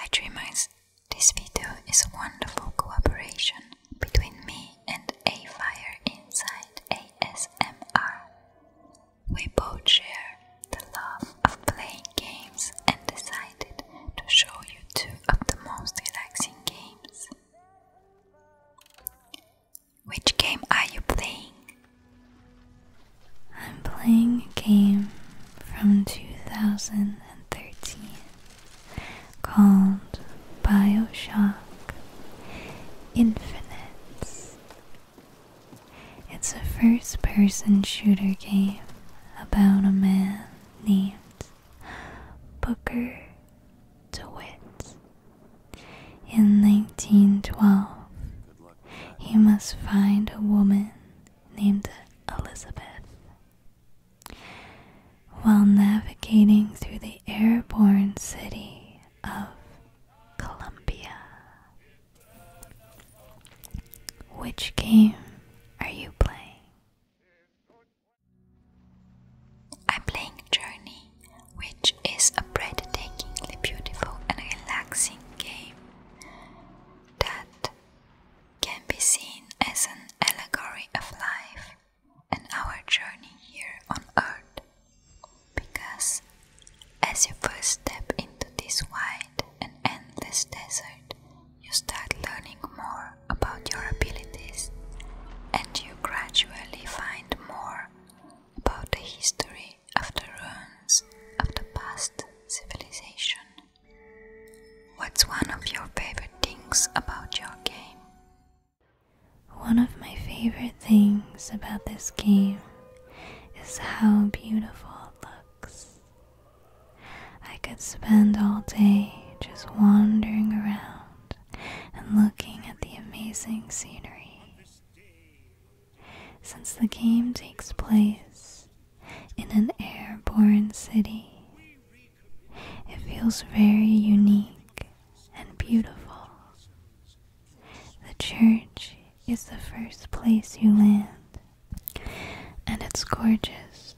iDreamers, this video is a wonderful cooperation between me and A Fire Inside ASMR. We both share the love of playing games and decided to show you two of the most relaxing games. Which game are you playing? I'm playing a game from 2013 called Bioshock Infinite. It's a first person shooter game about a man named Booker DeWitt. In 1912, he must find a woman named Elizabeth. While navigating through the airborne city of Columbia. Which game are you playing? I'm playing Journey, which is a breathtakingly beautiful and relaxing game that can be seen as an allegory of life and our journey here on earth. Because as you first step into this wide and endless desert, you start learning more about your abilities and you gradually find more about the history of the ruins of the past civilization. What's one of your favorite things about your game? One of my favorite things about this game is how beautiful it looks. I could spend all day just wandering around and looking at the amazing scenery since the game takes place in an airborne city. It feels very unique and beautiful. The church is the first place you land, and it's gorgeous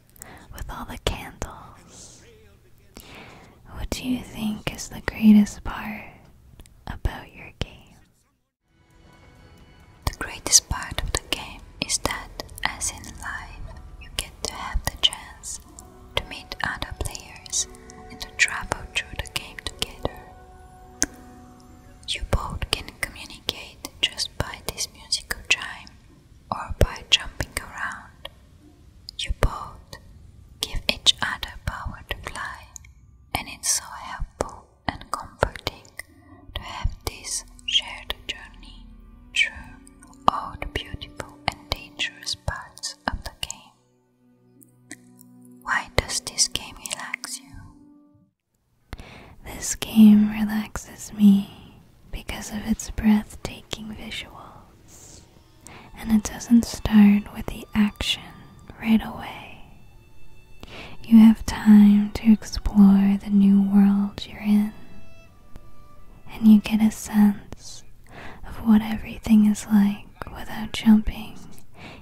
with all the candles. What do you think is the greatest part about your game? The greatest part of the game is that, as in life, you get to have the chance to meet other players and to travel through the game together. You both can communicate just by this musical chime or by jumping around. You both give each other power to fly, and it's so helpful and comforting to have this shared journey through all the beautiful and dangerous parts of the game. Why does this game relax you? This game relaxes me because of its breathtaking visuals, and it doesn't start with the action right away. You have time to explore the new world you're in, and you get a sense of what everything is like without jumping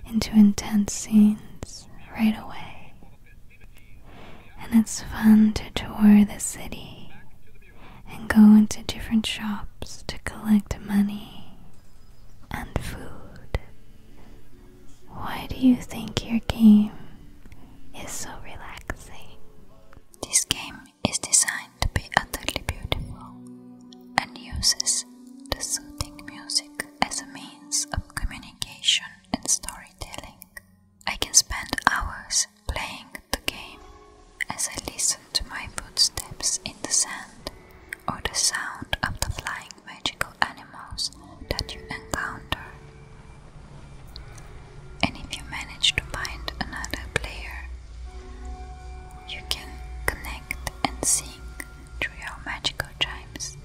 into intense scenes right away. And it's fun to tour the city and go into different shops to collect money and food. Why do you think your game is so relaxing? This game is designed to be utterly beautiful and uses the soothing music as a means of communication and storytelling. I can spend hours playing the game as I listen to my footsteps in the sand or the sound of the flying magical animals that you encounter. And if you manage to find another player, you can connect and sing through your magical chimes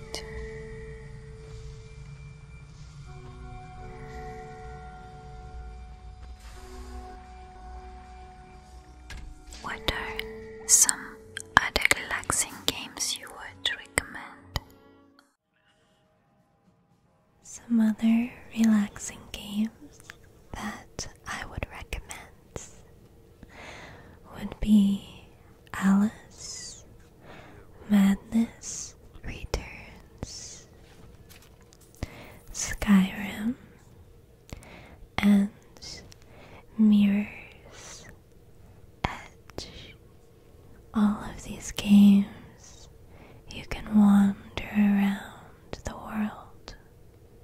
What are some other relaxing games you would recommend? Some other relaxing games that I would recommend would be Alice, Madness Returns, Skyrim, and Mirrors Edge. All of these games, you can wander around the world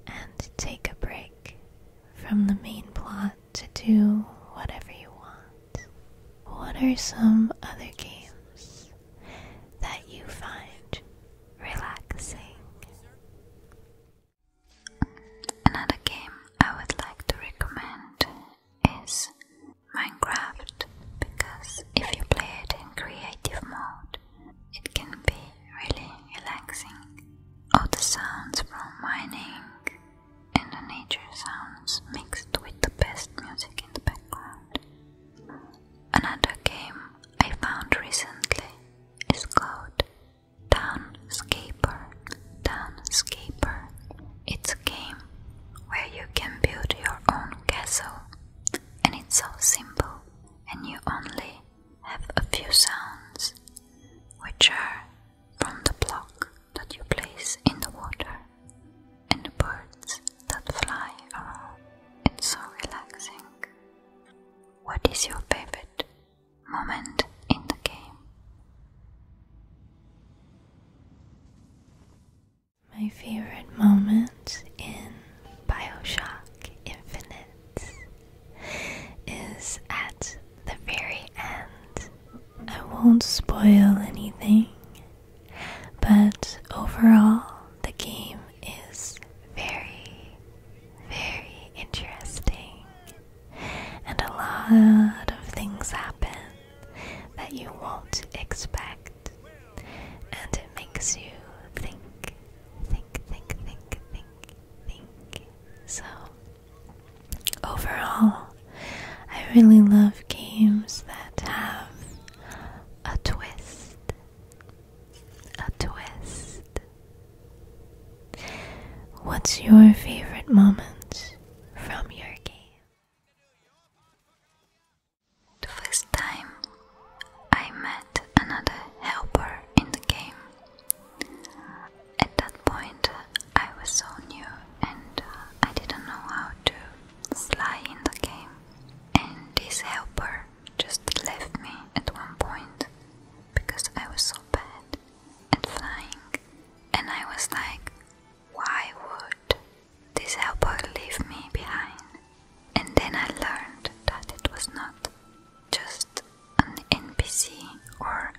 and take a break from the main plot to do whatever you want. What are some other games that you find relaxing? Another game I would like to recommend is Minecraft because if you play it in creative mode, it can be really relaxing. All the sounds from mining and the nature sounds mixed with the best music in the background. Another game I found recently is called Townscaper. Townscaper. It's a game where you can build your own castle, and it's so simple, and you only have a few sounds, which are from the block that you place in the water and the birds that fly around. It's so relaxing. What is your favorite moment in the game. My favorite moment in Bioshock Infinite is at the very end. I won't spoil anything, but overall, the game is very, very interesting and a lot of things happen that you won't expect, and it makes you think, think, think, think, think, think. So, overall, I really love games that have a twist. A twist. What's your favorite moment from your game? The first time I met another helper in the game. At that point, I was so new and uh, I didn't know how to slide in the game. And this helper just left me at one point because I was so bad at flying, and I was like, why would this helper leave me behind? And then I learned that it was not just an NPC or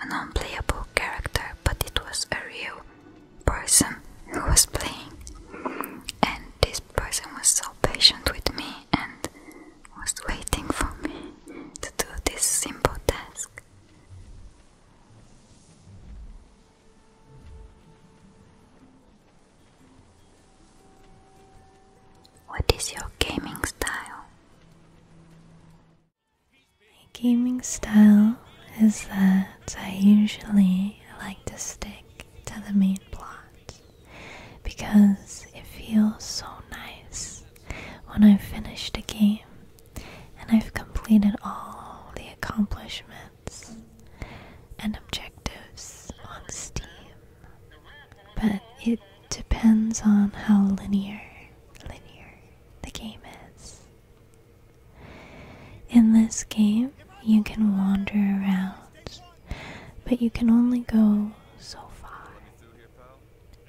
an unplayable character, but it was a real person who was playing. And this person was so patient with me and was waiting for me to do this simple task. What is your gaming style? My gaming style is that I usually like to stick to the main plot because it feels so nice when I've finished a game and I've completed all the accomplishments and objectives on Steam. But it depends on how linear linear the game is. In this game, you can wander around, but you can only go so far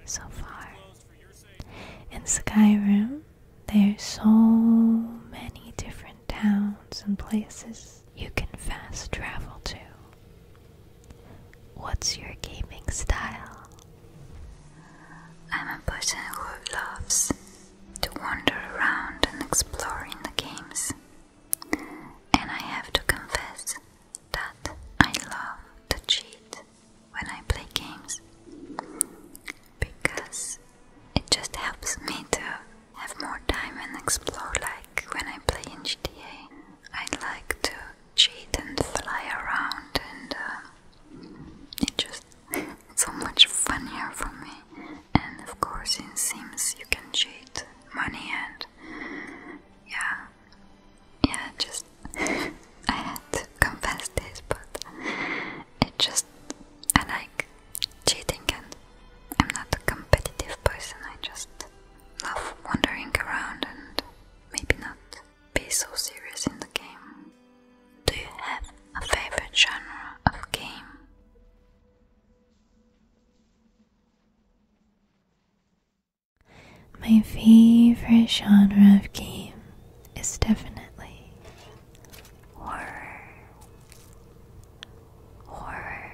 so far. In Skyrim, there's so many different towns and places you can fast travel to. What's your gaming style? I'm a person who loves to wander around and explore in the games. And I have to confess that I love to cheat when I play games because it just helps me to have more time and explore like when I play in GTA. I like to cheat and fly around and uh, it just it's so much funnier for me and of course in Sims you can cheat money and yeah, yeah, just I had to confess this, but it just I like cheating, and I'm not a competitive person. I just love wandering around and maybe not be so serious in the game. Do you have a favorite genre of game? My favorite genre of game is definitely horror. Horror.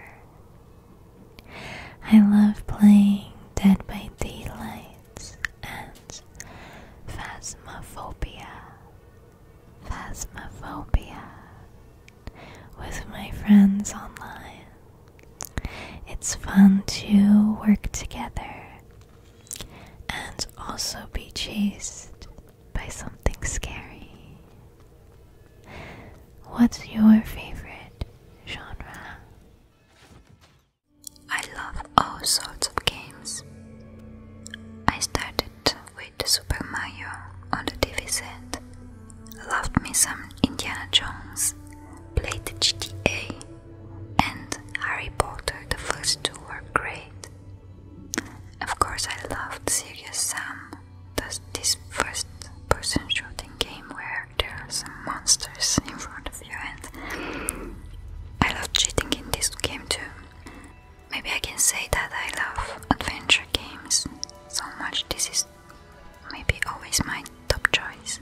I love playing Dead by Daylight and Phasmophobia. Phasmophobia with my friends online. It's fun to work together and also be chased by something scary. What's your favorite genre? I love all sorts of games. I started with Super Mario on the TV set Loved me some Indiana Jones, played the GTA, and Harry Potter, the first two were great. Of course, I loved Serious Sam, this first person shooting game where there are some monsters in front of you, and I love cheating in this game too. Maybe I can say that I love adventure games so much. This is maybe always my top choice.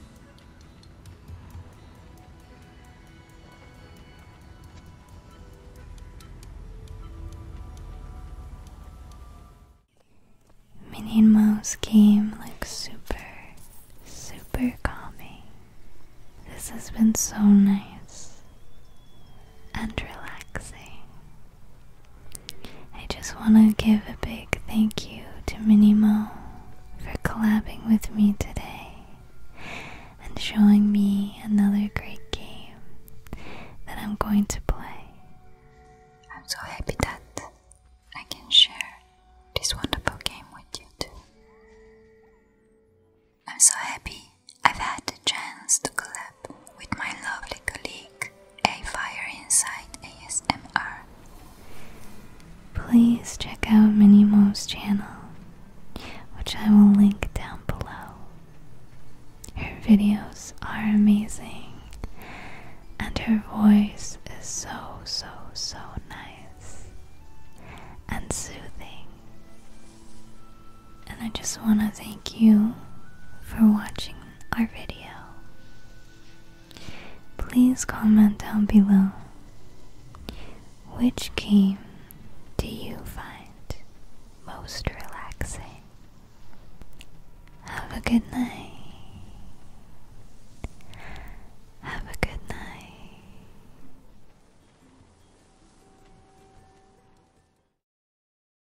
Minnie Mouse game looks super, super calming. This has been so nice and relaxing. I just want to give a big thank you to Minimo for collabing with me today and showing me another great game that I'm going to play. I'm so happy that I can share this wonderful game with you too. I'm so happy I've had the chance to collab with my lovely colleague, A Fire Inside ASMR. Please check out Minimo's channel, which I will link down below. Her videos are amazing, and her voice is so, so, so nice and soothing. And I just want to thank you for watching our video. Please comment down below which game do you find most relaxing? Have a good night. Have a good night.